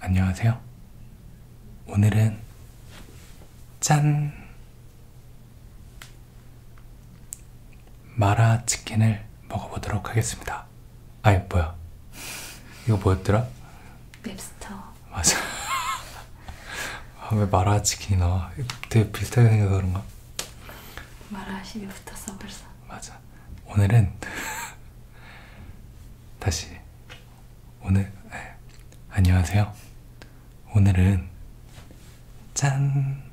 안녕하세요. 오늘은 짠! 마라 치킨을 먹어보도록 하겠습니다. 아이 뭐야? 이거 뭐였더라? 맵스터. 맞아. 아, 왜 마라 치킨이 나와? 되게 비슷하게 생겨서 그런가? 마라 시이 붙었어 벌써. 맞아. 오늘은 다시 오늘 네. 안녕하세요. 오늘은 짠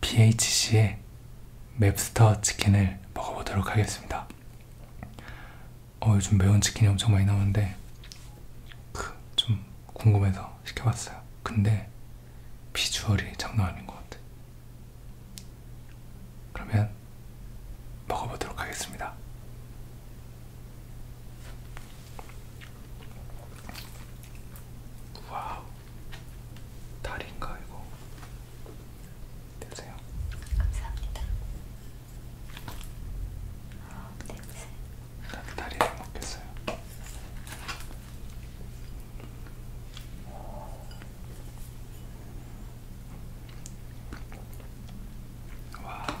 BHC의 맵스터 치킨을 먹어보도록 하겠습니다. 어 요즘 매운 치킨이 엄청 많이 나오는데 그 좀 궁금해서 시켜봤어요. 근데 비주얼이 장난 아닌 것 같아. 그러면 먹어보도록 하겠습니다. 와우, 다리인가 이거? 드세요. 감사합니다. 아, 냄새. 다리를 먹겠어요. 와.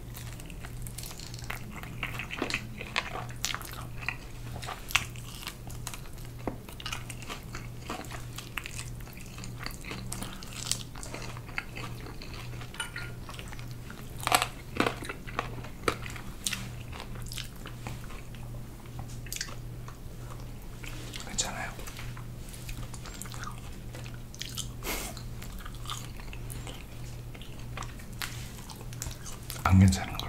괜찮아요. 안 괜찮은 걸로.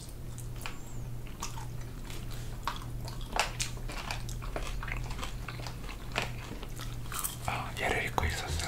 어, 얘를 읽고 있었어요.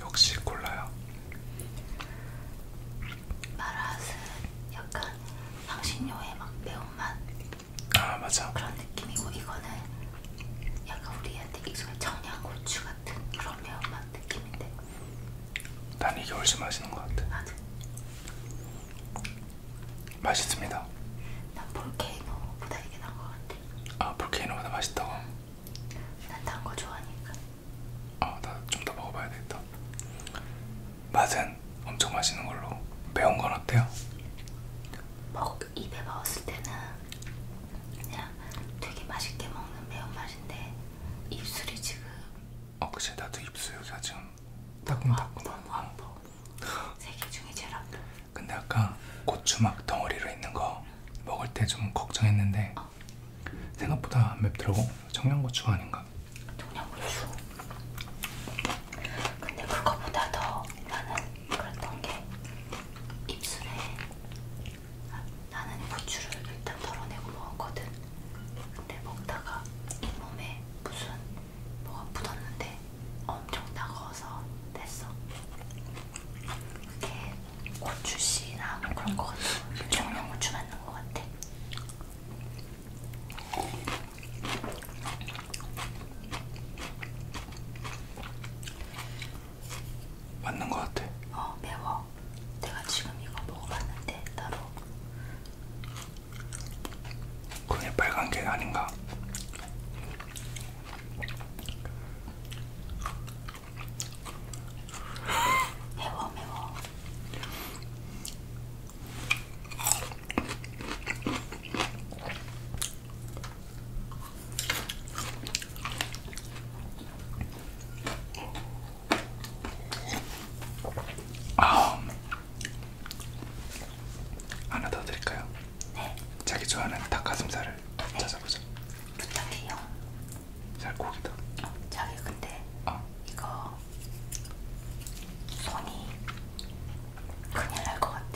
역시 콜라야. 마라스는 약간 향신료의 막 매운맛. 아 맞아. 그런 느낌이고 이거는 약간 우리한테 익숙한 청양고추 같은 그런 매운맛 느낌인데. 난 이게 훨씬 맛있는 것 같아. 맞아. 맛있습니다. 난 볼케이노보다 이게 나은 것 같아. 아 볼케이노보다 맛있다고? 난단 거 좋아하니까. 아 나 좀 더 먹어봐야겠다. 맛은 엄청 맛있는 걸로. 매운 건 어때요? 먹 입에 넣었을 때는 그냥 되게 맛있게 먹는 매운 맛인데 입술이 지금. 어 그치 나도 입술 여기가 지금 따끔따끔 안보 세개 중에 제일 안보 근데 아까 고추막 덩어리로 있는 거 먹을 때 좀 걱정했는데 어. 생각보다 안 맵더라고 청양고추가 아닌가? 청양고추 근데 그거보다 더 나는 그랬던 게 입술에 아, 나는 고추를 일단 덜어내고 먹었거든 근데 먹다가 잇몸에 무슨 뭐가 묻었는데 엄청 따가워서 됐어. 그게 고추씨나 뭐 그런 거 같아. 일종의 고추 맞는 거 같아. 맞는 거 같아. 어 매워. 내가 지금 이거 먹어봤는데 따로 그게 빨간 게 아닌가? 매워 매워. 아, 하나 더 드릴까요? 네. 자기 좋아하는 닭가슴살을 네. 찾아보자. 부탁해요. 살코기다. 어, 자기 근데 어. 이거 손이 큰일 날 것 같아.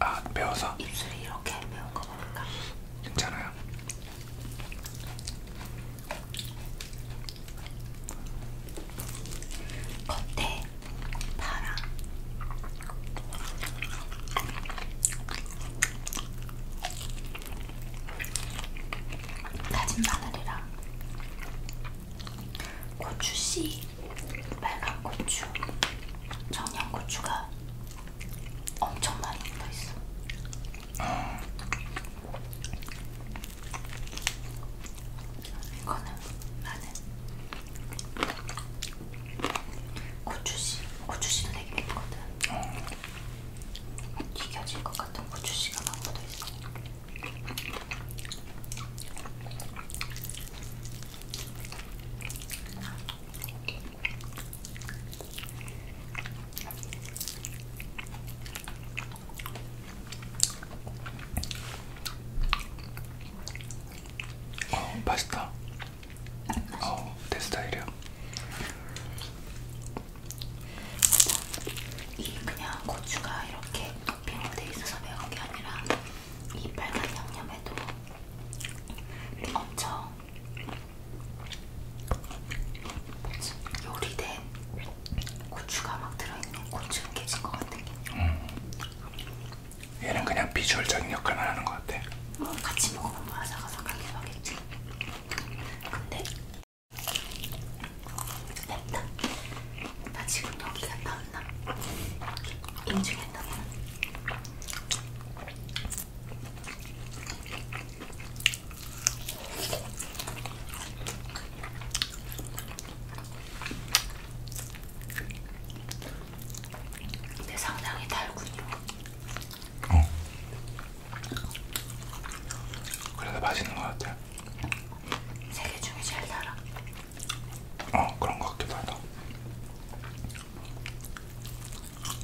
아, 매워서? 입술이 이렇게 매운 거 보니까. 괜찮아요. 겉에 파랑 다진 마늘이랑 고추씨 빨간 고추 청양고추가 엄청 많이 묻어있어 이거는 나는 고추씨, 고추씨도 되게 예쁘거든. 튀겨질 것 같은 고추씨가 막 묻어 있어. 어, 맛있다. 어, 내 스타일이야. 이 그냥 고추가 이렇게 토핑으로 돼 있어서 매운 게 아니라 이 빨간 양념에도 엄청 요리된 고추가 막 들어있는 고추 깨진 것 같은 게. 음. 얘는 그냥 비주얼적인 역할만 하는 것 같아. 어, 같이 먹으면 뭐 아삭아삭하게 하겠지. 근데 맵다. 나 지금 여기가 땀나. 인중에 땀나. 근데 상당히 달군요. 어. 그래도 맛있는 것 같아. 세계 중에 제일 달아. 어 그런 것 같기도 하다.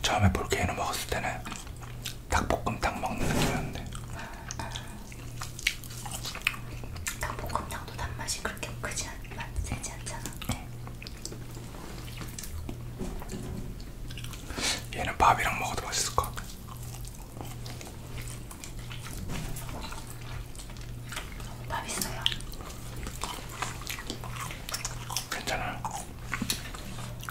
처음에 볼케이노 먹었을 때는 닭볶음탕 먹는 느낌이었는데 닭볶음탕도 단맛이 그렇게 크지 않, 세지 않잖아 어. 얘는 밥이랑 먹어도 맛있을 것 같아 밥 있어요? 괜찮아요?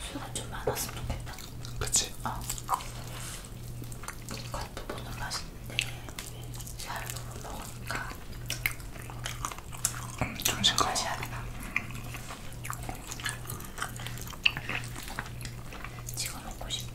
수가 좀 많았으면 좋겠다. 그치? 어. 겉부분은 맛있는데 살 부분 먹으니까 음, 정신가워. 맛이 안 나. 찍어 먹고 싶어.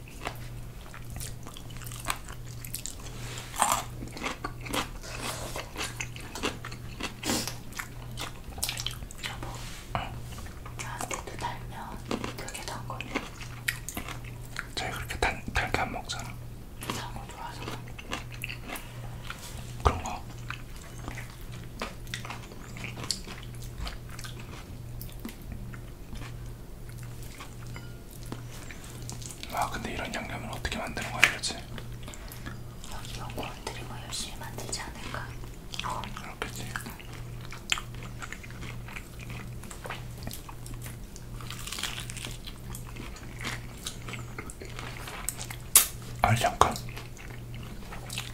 여보, 나한테도 달면 되게 단 거네. 저희 그렇게 단, 달게 안 먹잖아. 단거 좋아서. 그런 거. 아 근데 이런 양념은 어떻게 만드는 거야 그렇지? 여기 연구원들이 뭐 열심히 만들지 않을까? 어. 그렇겠지. 아 잠깐.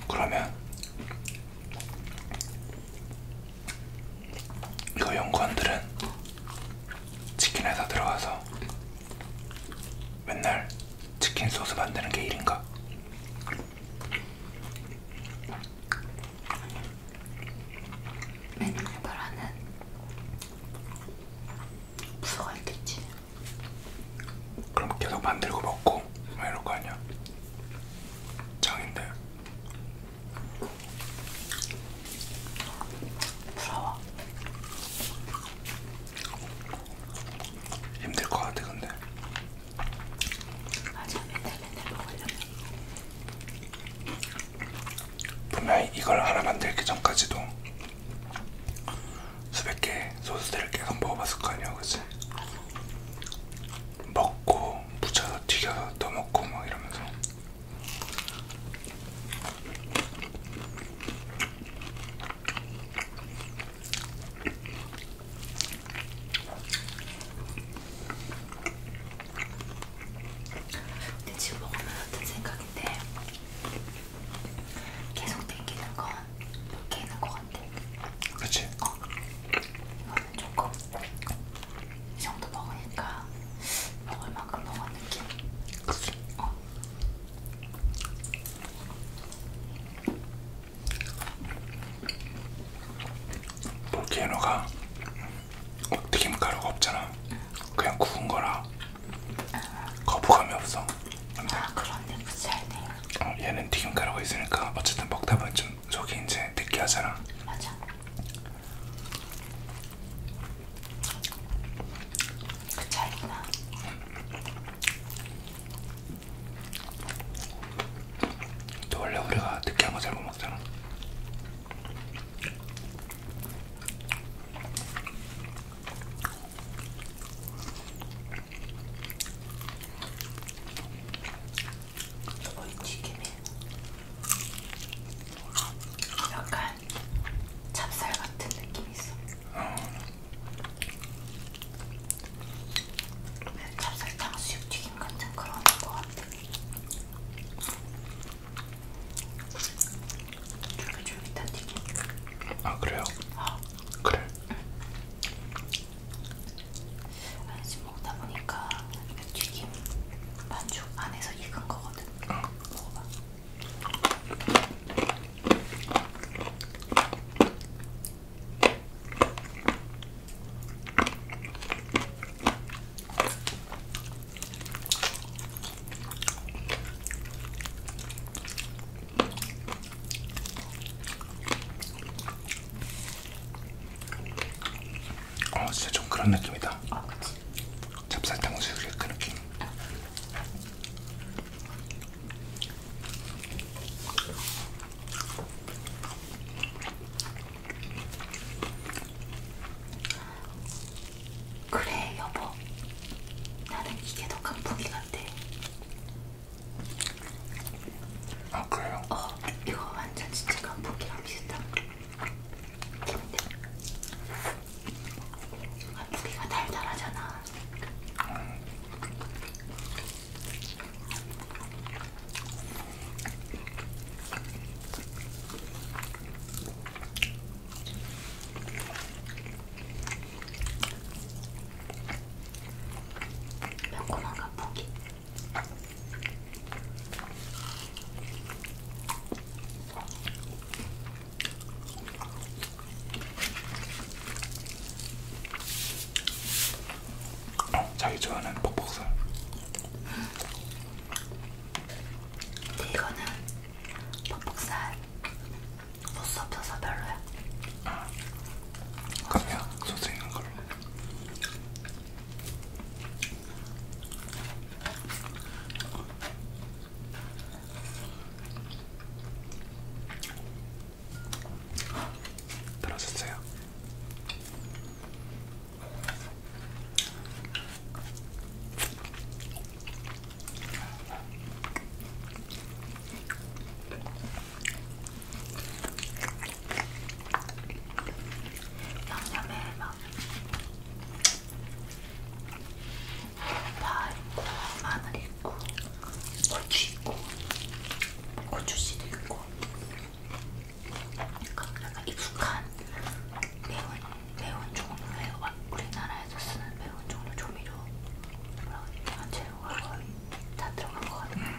그러면 그 연구원들은 치킨 회사 들어가서 맨날 치킨 소스 만드는 게 일인가? 맨날 바라는 부서가 있겠지. 그럼 계속 만들고 먹고 막 이럴 거 아니야. 장인데 부러워. 힘들 것 같아 근데. 맞아 맨날 맨날 먹으려면. 분명히 이걸 하나 만들기 전까지도 수백 개의 소스들을 계속 먹어봤을 거 아니야, 그치? 먹고 무쳐 튀겨서 또 먹고 막 뭐 이러면서 근데 지금 먹으면 어떤 생각인데 계속 땡기는 건 이렇게 있는 것 같아 그치? 어. 이거 어. 조금 이 정도 먹으니까 먹을 만큼 먹은 느낌. 어. 볼케이노가 튀김 가루가 없잖아. 응. 그냥 구운 거라 응. 거부감이 없어. 근데. 아 그런데 무시하네. 어, 얘는 튀김 가루가 있으니까 어쨌든 먹다 보면 좀 저기 이제 느끼하잖아. 맞아. 그 차이구나. 또 원래 우리가 느끼한 거잘못 먹잖아. 이 튀김은 약간 찹쌀 같은 느낌이 있어. 어. 찹쌀 탕수육 튀김 같은 그런 거 같아. 쫄깃쫄깃한 튀김. 아 그래요? 어. 그래. 응. 아니, 지금 먹다 보니까 튀김 반죽 안에서 익은 거거든. 어. 먹어봐. 어 진짜 좀 그런 느낌이다. 어, 그치. 찹쌀탕 수육의 그 느낌. 그래 여보 나는 이게 더 강풍이 같대 아 그래요? 어 이거 완전 진짜 감포기랑 비슷한 근데 감포기가 아, 달달하잖아 음. 매콤한 감포기 어, 자기 좋아하는 퍽퍽살. 근데 이거는 퍽퍽살 소스 없어서 별로야. 아, 그럼요. 소스 있는 걸로. 들어주세요. 양념에 막 파 있고 마늘 있고 고추 있고 고추씨도 있고 약간 익숙한 매운 매운 종류의 우리나라에서 쓰는 매운 종류 조미료 뭐라고 해야 되지? 아, 들어간 건, 다 들어간 것 같아요.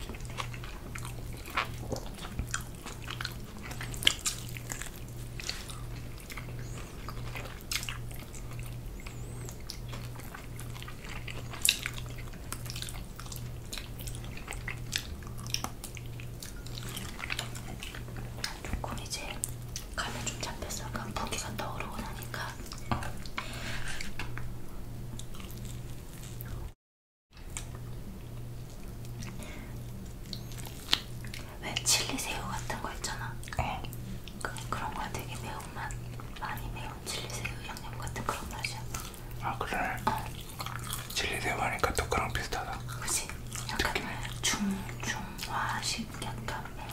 조금 이제 간을 좀 잡혔어. 약간 그러니까 부기가 떠오르고 나니까. 왜 칠리 새우 같은 거 있잖아. 어. 그, 그런 거야 되게 매운맛 많이 매운 칠리 새우 양념 같은 그런 맛이야. 아 그래. 어. 칠리 새우 하니까 또 그랑 비슷하다. 그렇지. 약간 중중화식 약간 매운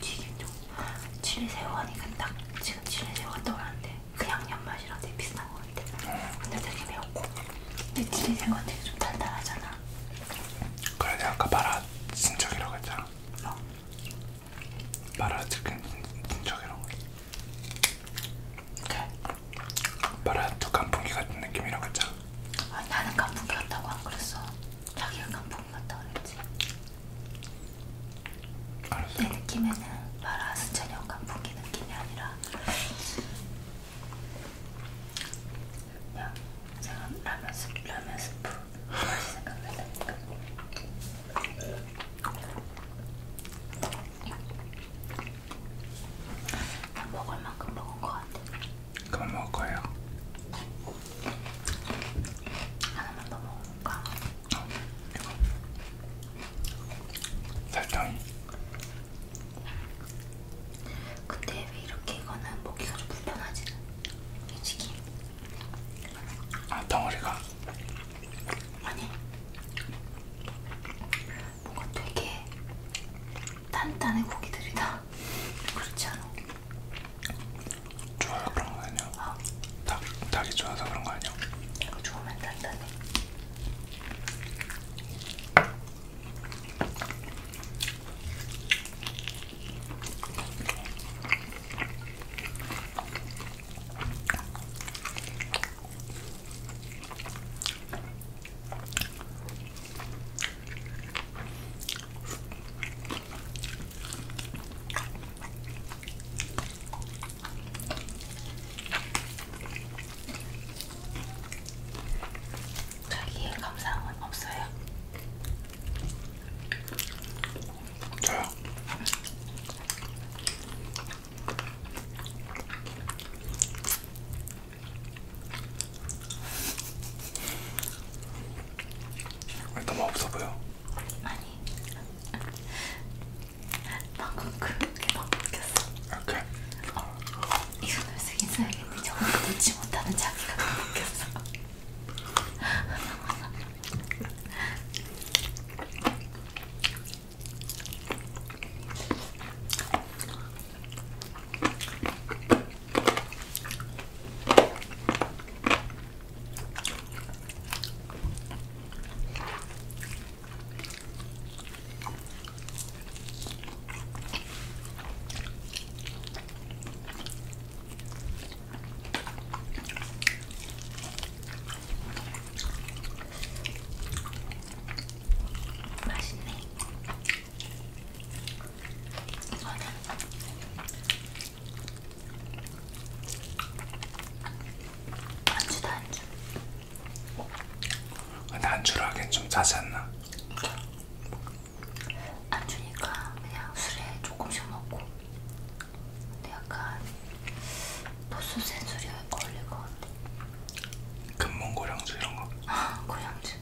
튀김 좀. 칠리 새우 하니까 딱 지금 칠리 새우가 떠오르는데. 그냥 연맛이랑 되게 비슷한 것 같아. 근데 되게 매웠고. 근데 칠리된 건 되게 좀 달달하잖아. 그래 내가 아까 마라 친척이라고 했잖아. 어. 마라 치킨 친척이라고. 그래. 네. 마라도 깐풍기 같은 느낌이라고 했잖아. 아, 나는 깐풍기 같다고 안 그랬어. 자기가 깐풍기 같다고 그랬지. 알았어. 내 느낌에는 마라스 전혀 감풍기 느낌이 아니라 그냥 생각 라면 스프 라면 스프 맛이 생각난다니까. 먹을 만큼 먹은 것 같아. 그럼 먹어요. 하나만 더 먹어. 뭔가 설탕이 근데 왜 이렇게 이거는 먹기가 좀 불편하지? 솔직히 아 덩어리가? 아니 뭔가 되게 단단해 고기들이다 그렇지 않아? 좋아요 그런 거 아니야? 어? 닭, 닭이 좋아서 그런 거 아니야? 이거 좋으면 단단해 자기의 감상은 없어요? 저요? 왜 너무 없어 보여? 아니 아니 방금 그렇게 막 웃겼어 오케이 어, 이 손을 쓰긴 써야겠는데 저걸 놓지 못하는 자기가 너무 웃겼어 맛있네. 이거는 안주다 안주 아, 근데 안주를 하기엔 좀 짜지 않나? 안주니까 그냥 술에 조금씩 먹고 근데 약간 도수 센 술이 어울릴 것 같아 금몽 고량주 이런 거? 아 고량주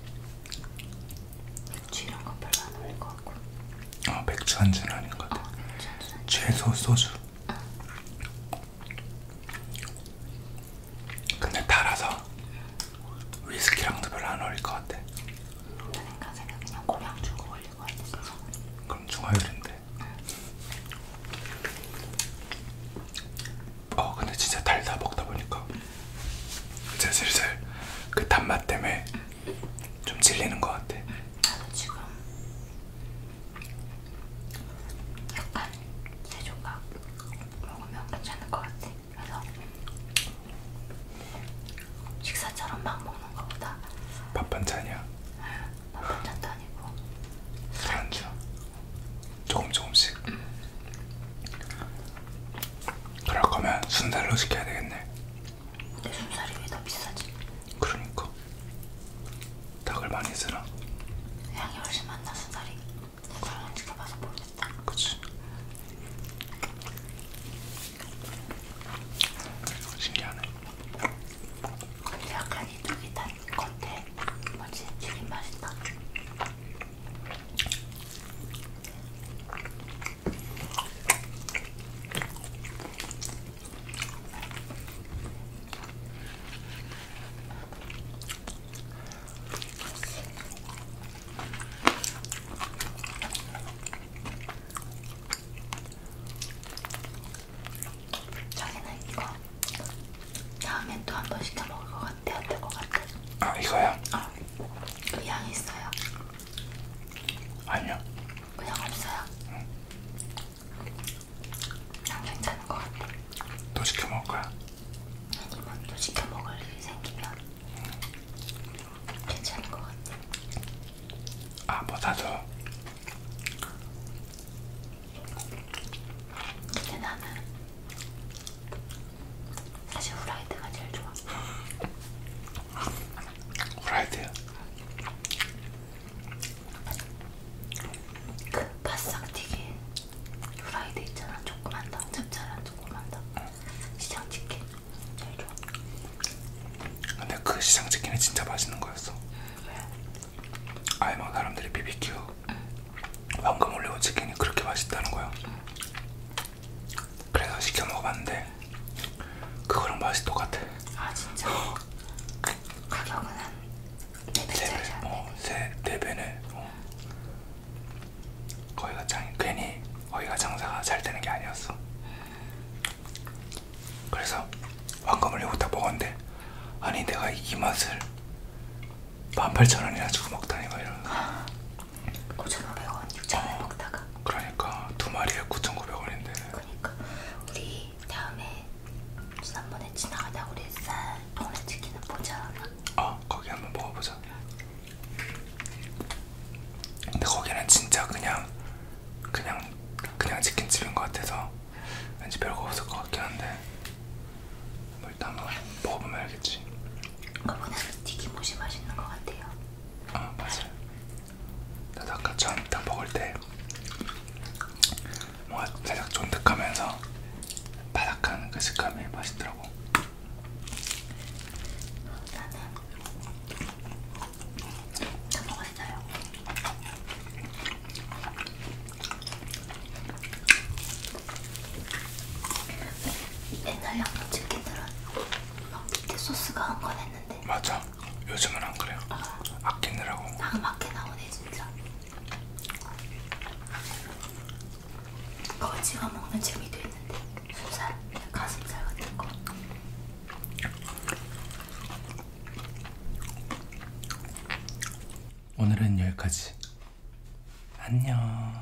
맥주 이런 건 별로 안 어울릴 것 같고 어, 맥주 한잔 아닌 것 같아 어, 최소 소주 응. 근데 달아서 위스키랑도 별로 안 어울릴 것 같아 그러니까 생각 그냥 고량주가 어울릴 것 같아 그럼 중화요리인데 응. 어 근데 진짜 달다 먹다 보니까 이제 슬슬 그 단맛 때문에 응. 좀 질리는 것 같아. 나도 지금 약간 세 조각 먹으면 괜찮을 것 같아. 그래서 식사처럼 막 먹는 것보다 밥 반찬이야. 응, 밥 반찬도 아니고 술안주 조금 조금씩. 응. 그럴 거면 순살로 시켜야 되겠네. 내 순살이 왜 더 비싸지? 그러니까 닭을 많이 쓰나? 향이 훨씬 많나 순살이 그런 지켜봐서 모르겠다 그치 신기하네 약간 이쪽이 단 건데 뭐지? 튀김 맛있다 저기는 이거 다음엔 또 한 번 시켜 먹을 것 같아요. 될것 같아. 아 이거야? 어. 그양 있어요. 아니요. 그냥 없어요. 응. 난 괜찮은 것 같아. 또 시켜 먹을 거야? 아니면 또 시켜 먹을 일이 생기면 응. 괜찮은 것 같아. 아, 뭐다도 근데 나는 사실 후라이드가 제일 좋아. 골라야 돼요. 그 바싹튀김 후라이드 있잖아 조그만 닭 짭짤한 조그만 닭 시장치킨 제일 좋아 근데 그 시장치킨이 진짜 맛있는 거였어 아예 막 사람들이 BBQ 응. 황금 올리고 치킨이 그렇게 맛있다는 거야 응. 그래서 시켜 먹어봤는데 그거랑 맛이 똑같아. 아 진짜? 가격은 한네 배짜리 네 어, 세네 배네. 어. 거기가 장 괜히 거기가 장사가 잘 되는 게 아니었어. 그래서 왕감을 이거 딱 먹었는데 아니 내가 이 맛을 18,000원이나 주고 먹다니 막 이런. 5,500원, 6,000원 어, 먹다가 그러니까 두 마리에 9,900원인데 그러니까 우리 다음에 지난번에 지나가다 우리 쌀 동네치킨을 보자 어 거기 한번 먹어보자 근데 거기는 진짜 그냥 그냥 그냥 치킨집인 것 같아서 왠지 별거 없을 것 같긴 한데 뭐 일단 한번 먹어보면 알겠지 그거보다는 튀김옷이 맛있는 것 같아요 아 맞아요 나도 아까 처음 딱 먹을 때 뭔가 살짝 쫀득하면서 바삭한 그 식감이 맛있더라고. 나는 음, 다 먹었어요. 옛날에 한번 치킨 들었 막 밑에 소스가 한건 했는데 맞아 요즘은 안 그래요 어. 아끼느라고 딱 맞게 나오네 진짜 그거 찍어 먹는 재미도 있는데 소살, 가슴살 같은 거 오늘은 여기까지 안녕